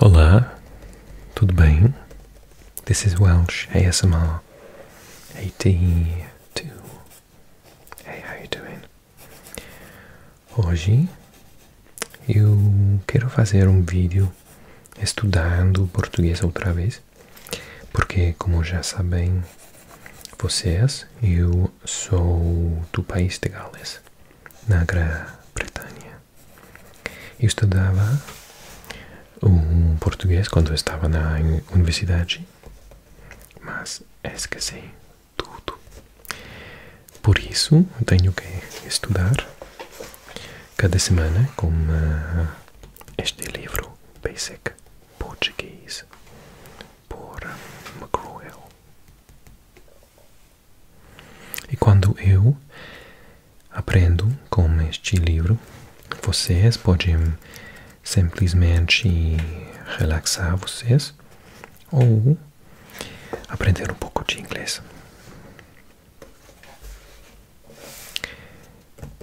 Olá, tudo bem? This is Welsh ASMR 82. Hey, how you doing? Hoje eu quero fazer um vídeo estudando português outra vez, porque como já sabem vocês, eu sou do país de Gales na Grã-Bretanha. Estudava o português quando estava na universidade, mas esqueci tudo. Por isso, tenho que estudar cada semana com ah, este livro Basic Portuguese por mcgraw e quando eu aprendo com este livro, vocês podem simplesmente relaxar vocês ou aprender um pouco de inglês.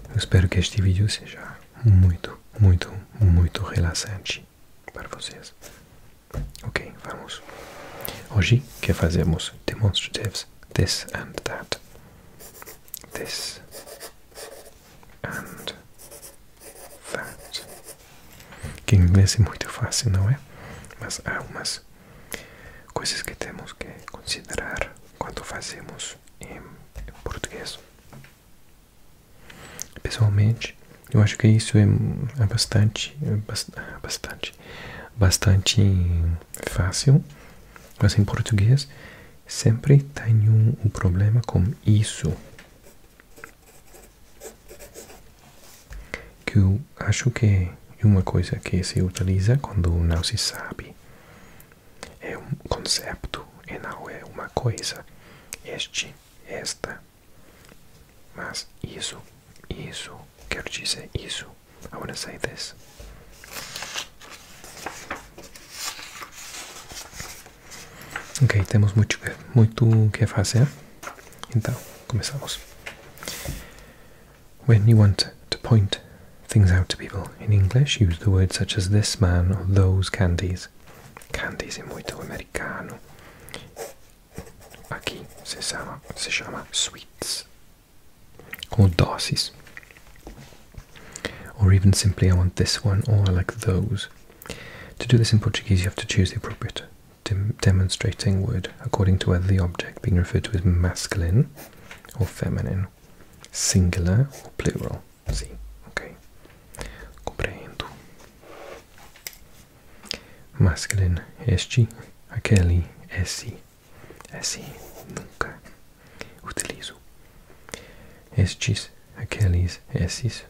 Eu espero que este vídeo seja muito, muito, muito relaxante para vocês. Ok, vamos. Hoje que fazemos demonstratives this and that. This and that. Que em inglês é muito fácil, não é? Mas há algumas coisas que temos que considerar quando fazemos em português. Pessoalmente, eu acho que isso é, é bastante, é bastante, bastante fácil, mas em português sempre tenho um problema com isso. Que eu acho que é uma coisa que se utiliza quando não se sabe. É um conceito e não é uma coisa. Este, esta. Mas isso, isso, quero dizer isso. I want to say this. Ok, temos muito, muito que fazer. Então, começamos. When you want to point things out to people in English, use the words such as this man or those candies. Candies. Candies es muy todo americano. Aqui se chama, se chama sweets. Or dosis. Or even simply I want this one or I like those. To do this in Portuguese you have to choose the appropriate demonstrating word according to whether the object being referred to is masculine or feminine, singular or plural. See, okay. Compreendo. Masculine SG, aquele S, S nunca utilizo. Estes, aqueles, esses.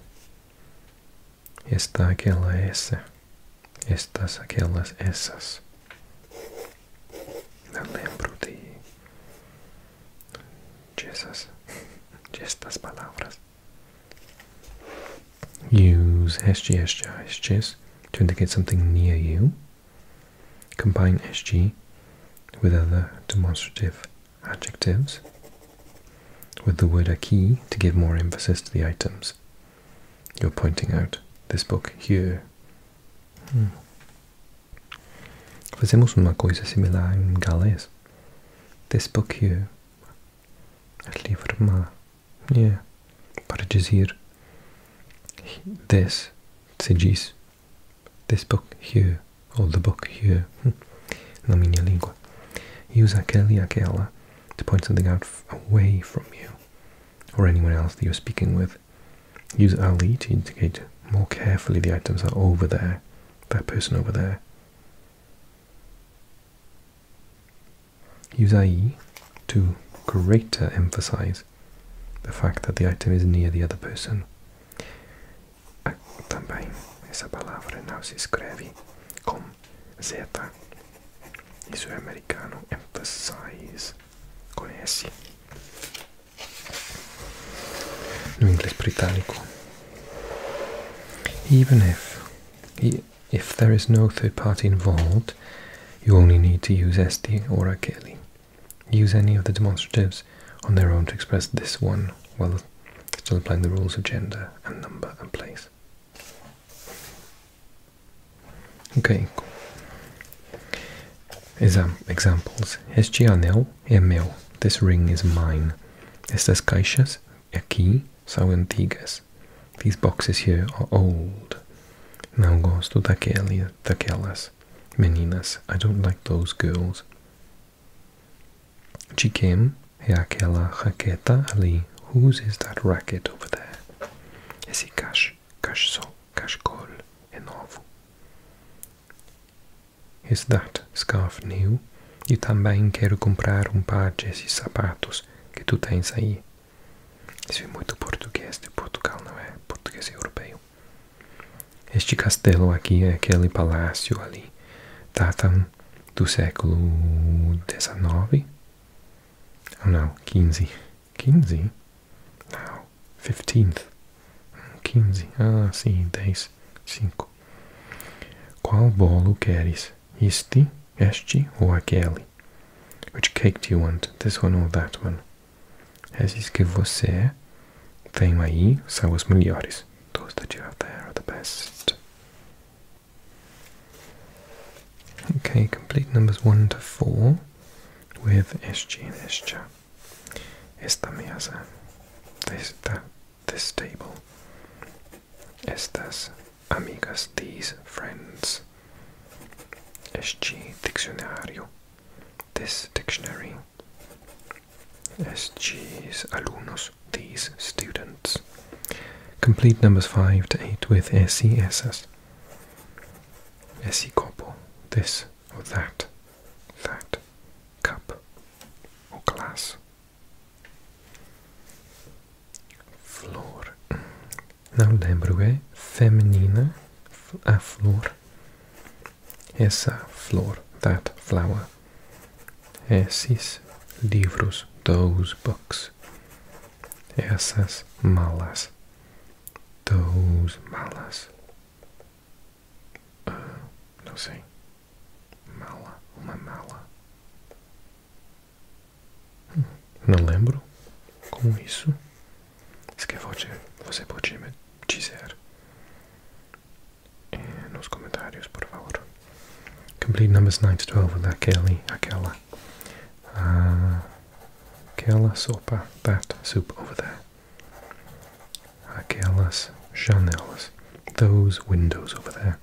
Esta, aquela, essa. Estas, aquelas, essas. Não lembro de, de de estas palavras. Use SG, to indicate something near you. Combine SG with other demonstrative adjectives with the word a key to give more emphasis to the items. You're pointing out this book here. Hmm. Fazemos uma coisa similar em this book here, het liever maar, yeah, paretjes hier. This, tsigis. This book here, or the book here, na minha língua. Use aquele e aquela to point something out away from you, or anyone else that you're speaking with. Use ali to indicate more carefully the items are over there, that person over there, Use IE to greater emphasize the fact that the item is near the other person. Também essa palavra não se escreve com Z. Isso é americano. Emphasize. Conhece? No inglês britânico, even if, if there is no third party involved, you only need to use SD or Akeli. Use any of the demonstratives on their own to express this one while still applying the rules of gender and number and place. Okay. examples. Hescianel é This ring is mine. Estas caixas aqui são antigas. These boxes here are old. Não gosto daquele, daquelas meninas. I don't like those girls. Chiquem é aquela raqueta ali. Whose is that racket over there? Esse cache, cache só, cachecol, é Is that scarf new? Eu também quero comprar um par desses sapatos que tu tens aí. Isso é muito português de Portugal, não é? Português europeu. Este castelo aqui é aquele palácio ali. data do século XIX? Oh, não, 15. 15? Não, 15 15. Ah, sim, 10. 5. Qual bolo queres? Este, este ou aquele? Which cake do you want? This one or that one? Esses que você tem aí são os melhores. todos que você tem aí são os melhores Okay, complete numbers 1 to 4 with SG and SCHA. Esta mesa. this table. Estas, amigas, these, friends. SG, diccionario, this dictionary. SG's, alumnos, these, students. Complete numbers 5 to 8 with SESS. SE corpo, this or that, that, cup ou glass. Flor. Não lembro, é feminina a flor. Essa flor, that flower. Esses livros, those books. Essas malas, those malas. Ah, não sei. Mala, uma mala. Hum, não lembro como isso. Se quer você, você pode me dizer eh, nos comentários, por favor. Complete numbers 9 to 12 daquele, aquela. Ah, aquela sopa, that soup over there. aquelas janelas, those windows over there.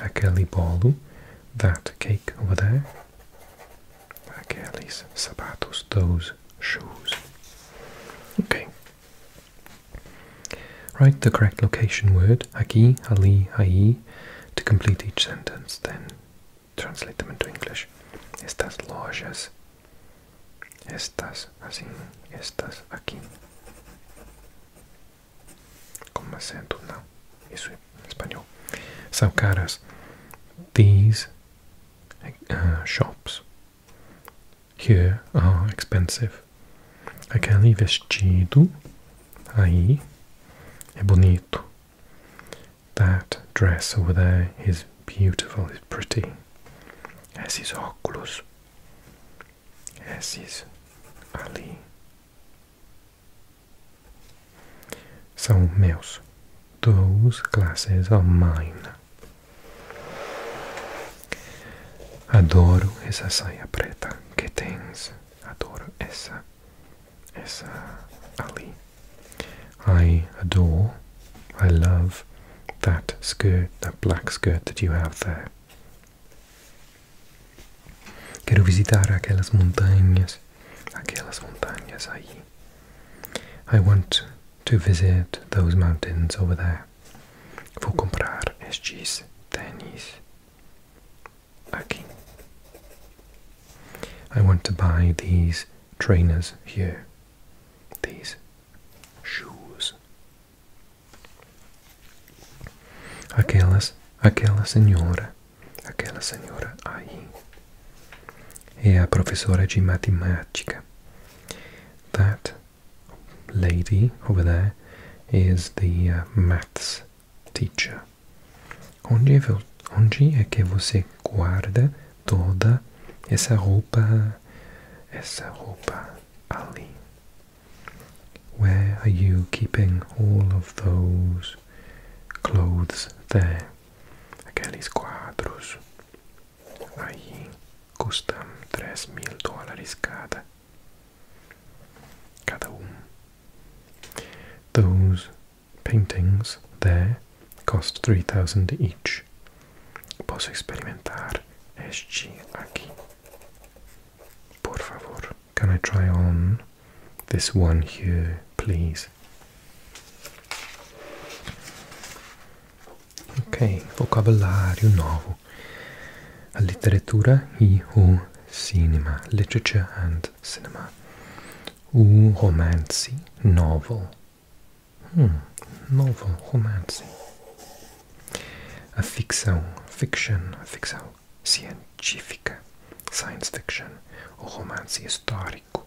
Aquele bolo, that cake over there. Aqueles sabatos, those shoes. Okay. Write the correct location word, aqui, ali, aí, to complete each sentence, then translate them into English. Estas lojas. Estas, assim, estas aqui. como Com acento, não. Isso é espanhol. São caras. These uh, shops here are expensive. Aquele vestido aí é bonito. That dress over there is beautiful, it's pretty. As is Oculus. As is Ali. So, meus. Those glasses are mine. Adoro essa saia preta que tens. Adoro essa is uh, Ali. I adore, I love that skirt, that black skirt that you have there. Quiero visitar aquellas montañas, aquellas montañas allí. I want to visit those mountains over there. Vou comprar estes tênis aqui. I want to buy these trainers here. These shoes. Aquelas, aquela senhora, aquela senhora aí é a professora de matemática. That lady over there is the uh, maths teacher. É onde, é que você guarda toda essa roupa? Essa roupa ali. Where are you keeping all of those clothes there? Aqueles quadros. Aí custam 3 mil dólares cada. Cada um. Those paintings there cost 3000 each. Posso experimentar este aqui. Por favor, can I try on this one here, please? Ok, vocabulário novo. A literatura cinema. Literature and cinema. o romance novel. Hum, novel, romance. A ficção, fiction, a ficção científica, science fiction, o romance histórico,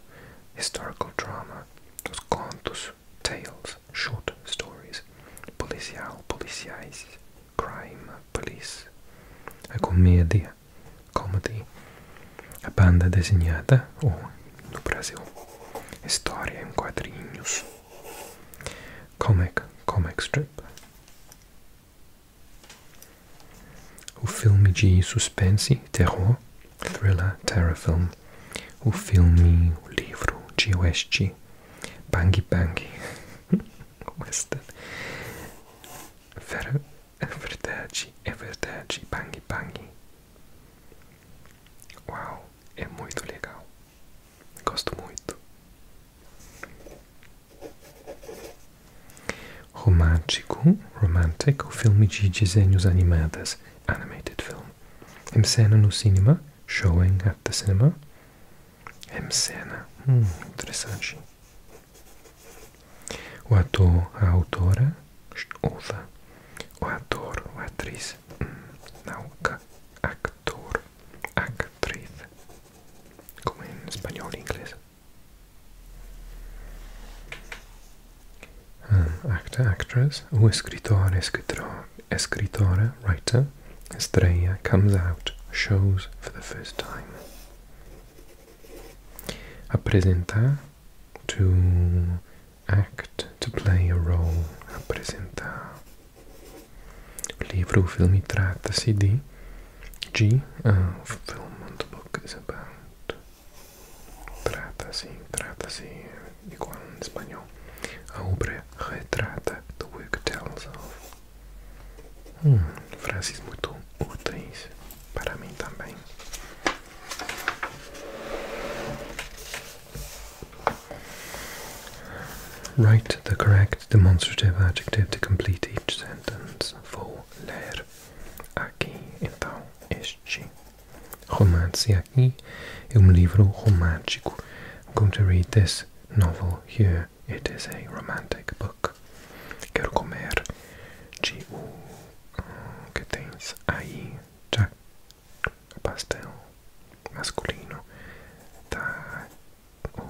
historical drama, os contos, tales, short stories, policial, policial, crime, police, a comédia, Comedy. A banda desenhada, ou no Brasil, História em quadrinhos. Comic. Comic strip. O filme de suspense, terror, thriller, terror film. O filme, o livro de oeste, bang é western. Ver, é verdade, é verdade, bang bang. Uau, é muito legal. Gosto muito. Romântico, romantic, o filme de desenhos animados, animated film. Em cena no cinema, showing at the cinema. Em cena, hum, interessante. O ator, a actress. ouça. O ator, ou atriz, não, actor, actress. como em espanhol e inglês. Um, actor, actress, o escritor, escritor, escritora, writer, estreia, comes out, shows for the first time. apresentar to act to play a role apresentar o livro filme trata-se de G, ah, o filme film o book é about trata-se trata-se igual em espanhol a obra retrata the work tells of Hum, frases muito úteis para mim também. Write the correct demonstrative adjective to complete each sentence. Vou ler aqui, então, este. Romance aqui é um livro romântico. I'm going to read this novel here. It is a romantic book. Quero comer ¿Qué tienes mm, que tens ahí Pastel masculino. Oh.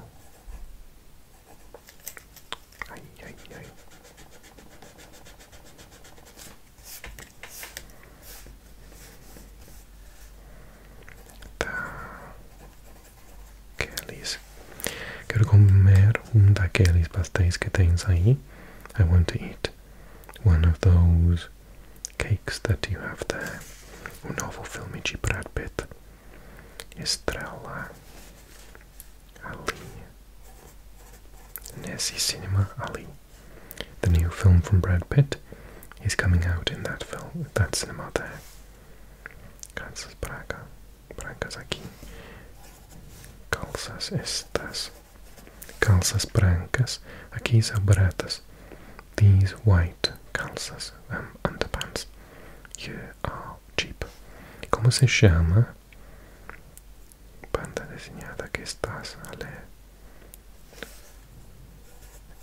Kelly's. I want to eat one of those cakes that you have there. O novo filme de Brad Pitt. Estrela ali. Nessie Cinema Ali. The new film from Brad Pitt is coming out in that film, that cinema there. Calças brancas, brancas aqui. Calças estas. Calças brancas. Aqui são baratas. These white calças, um, underpants, here are cheap. Como se chama? Banda desenhada que estás a ler.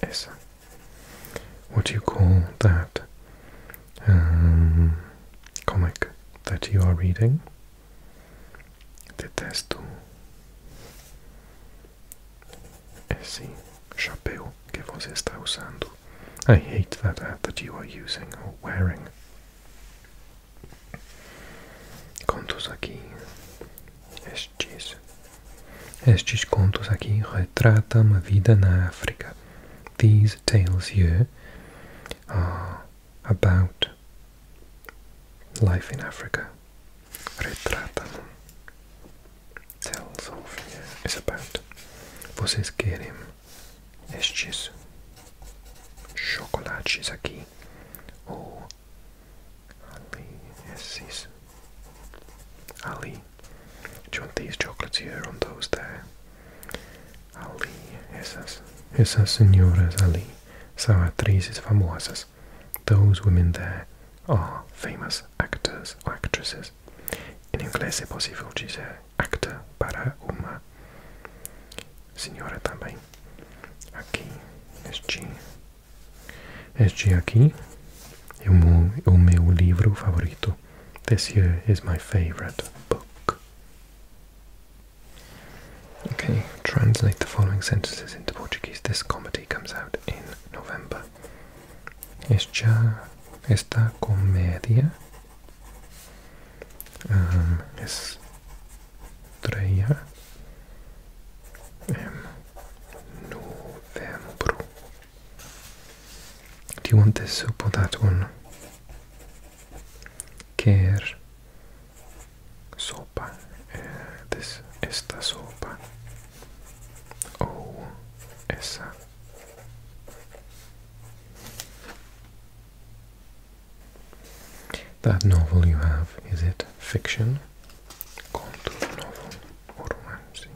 Essa. what do you call that um, comic that you are reading. Detesto. Esse eh chapéu que você está usando. I hate that hat that you are using or wearing. Contos aqui. Estes Estes contos aqui retratam a vida na África. These tales here are about life in Africa. Retratam. Tales of here is about. Vocês querem estes chocolates aqui ou ali esses Ali, do you want these chocolates here on those there? Ali, esas, esas señoras Ali, actrices famosas. Those women there are famous actors or actresses. En inglés é possível dizer actor para uma senhora também. Aqui, este, este aqui, this year is my favorite book. Okay, translate the following sentences into Portuguese. This comedy comes out in November. Esta, esta comedia um, estreia em novembro. Do you want this soup or that one? Quer sopa. Uh, this esta sopa. Oh, esa. That novel you have, is it fiction?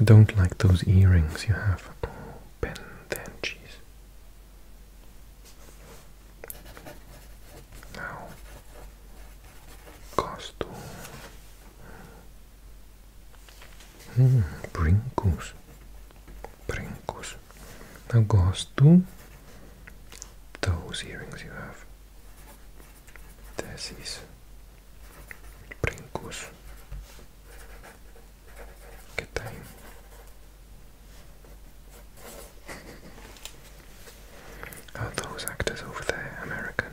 I don't like those earrings you have. Oh, Ben, Now, costume. Mm, brincos. Brincos. Now, gosto those earrings you have tesis, brinkus, kitain. Are those actors over there American?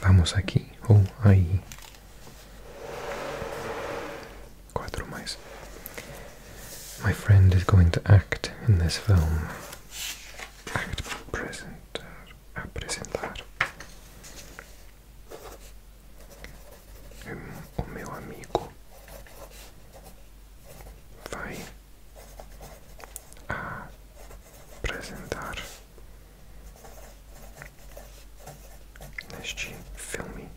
Vamos aqui ou aí. Quatro mais. My friend is going to act in this film. Act apresentar. Apresentar. O meu amigo vai apresentar neste filme.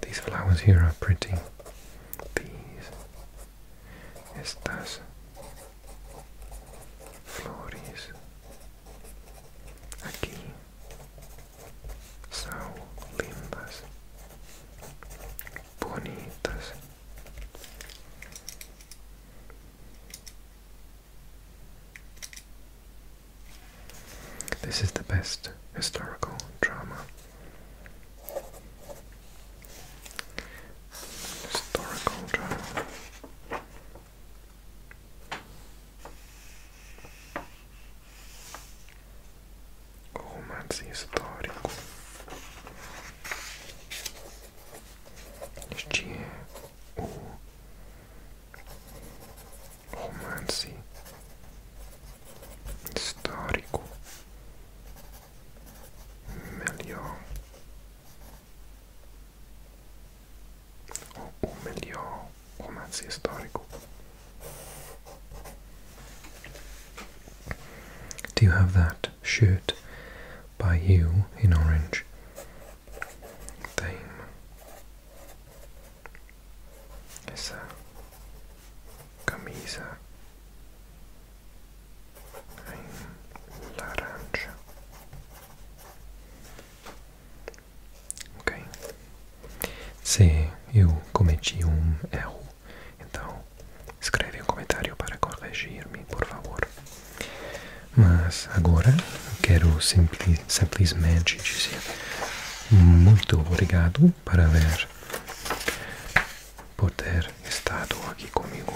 These flowers here are pretty. These estas flores aqui são lindas, bonitas. This is the best historical drama. Historical drama. Romance histórico. Ještě u romancí histórico melhor o romance Do you have that? shirt by you in orange. Dame. Essa camisa em laranja. Ok. Se eu cometi um erro, então Escreve um comentário para corrigir-me, por favor. Mas agora quero simpli simplesmente dizer muito obrigado por ter estado aqui comigo.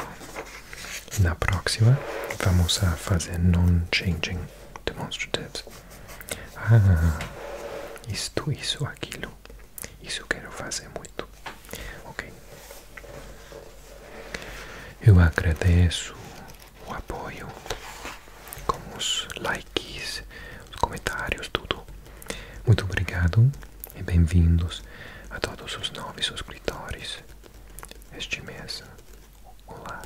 Na próxima vamos a fazer non-changing demonstratives. Ah, isto, isso, aquilo. Isso quero fazer muito. Ok. Eu agradeço o apoio com os likes, os comentários, tudo. Muito obrigado e bem-vindos a todos os novos inscritores. este mês. Olá.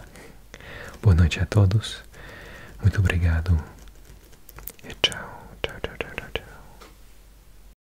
Boa noite a todos. Muito obrigado. E tchau, tchau, tchau, tchau, tchau.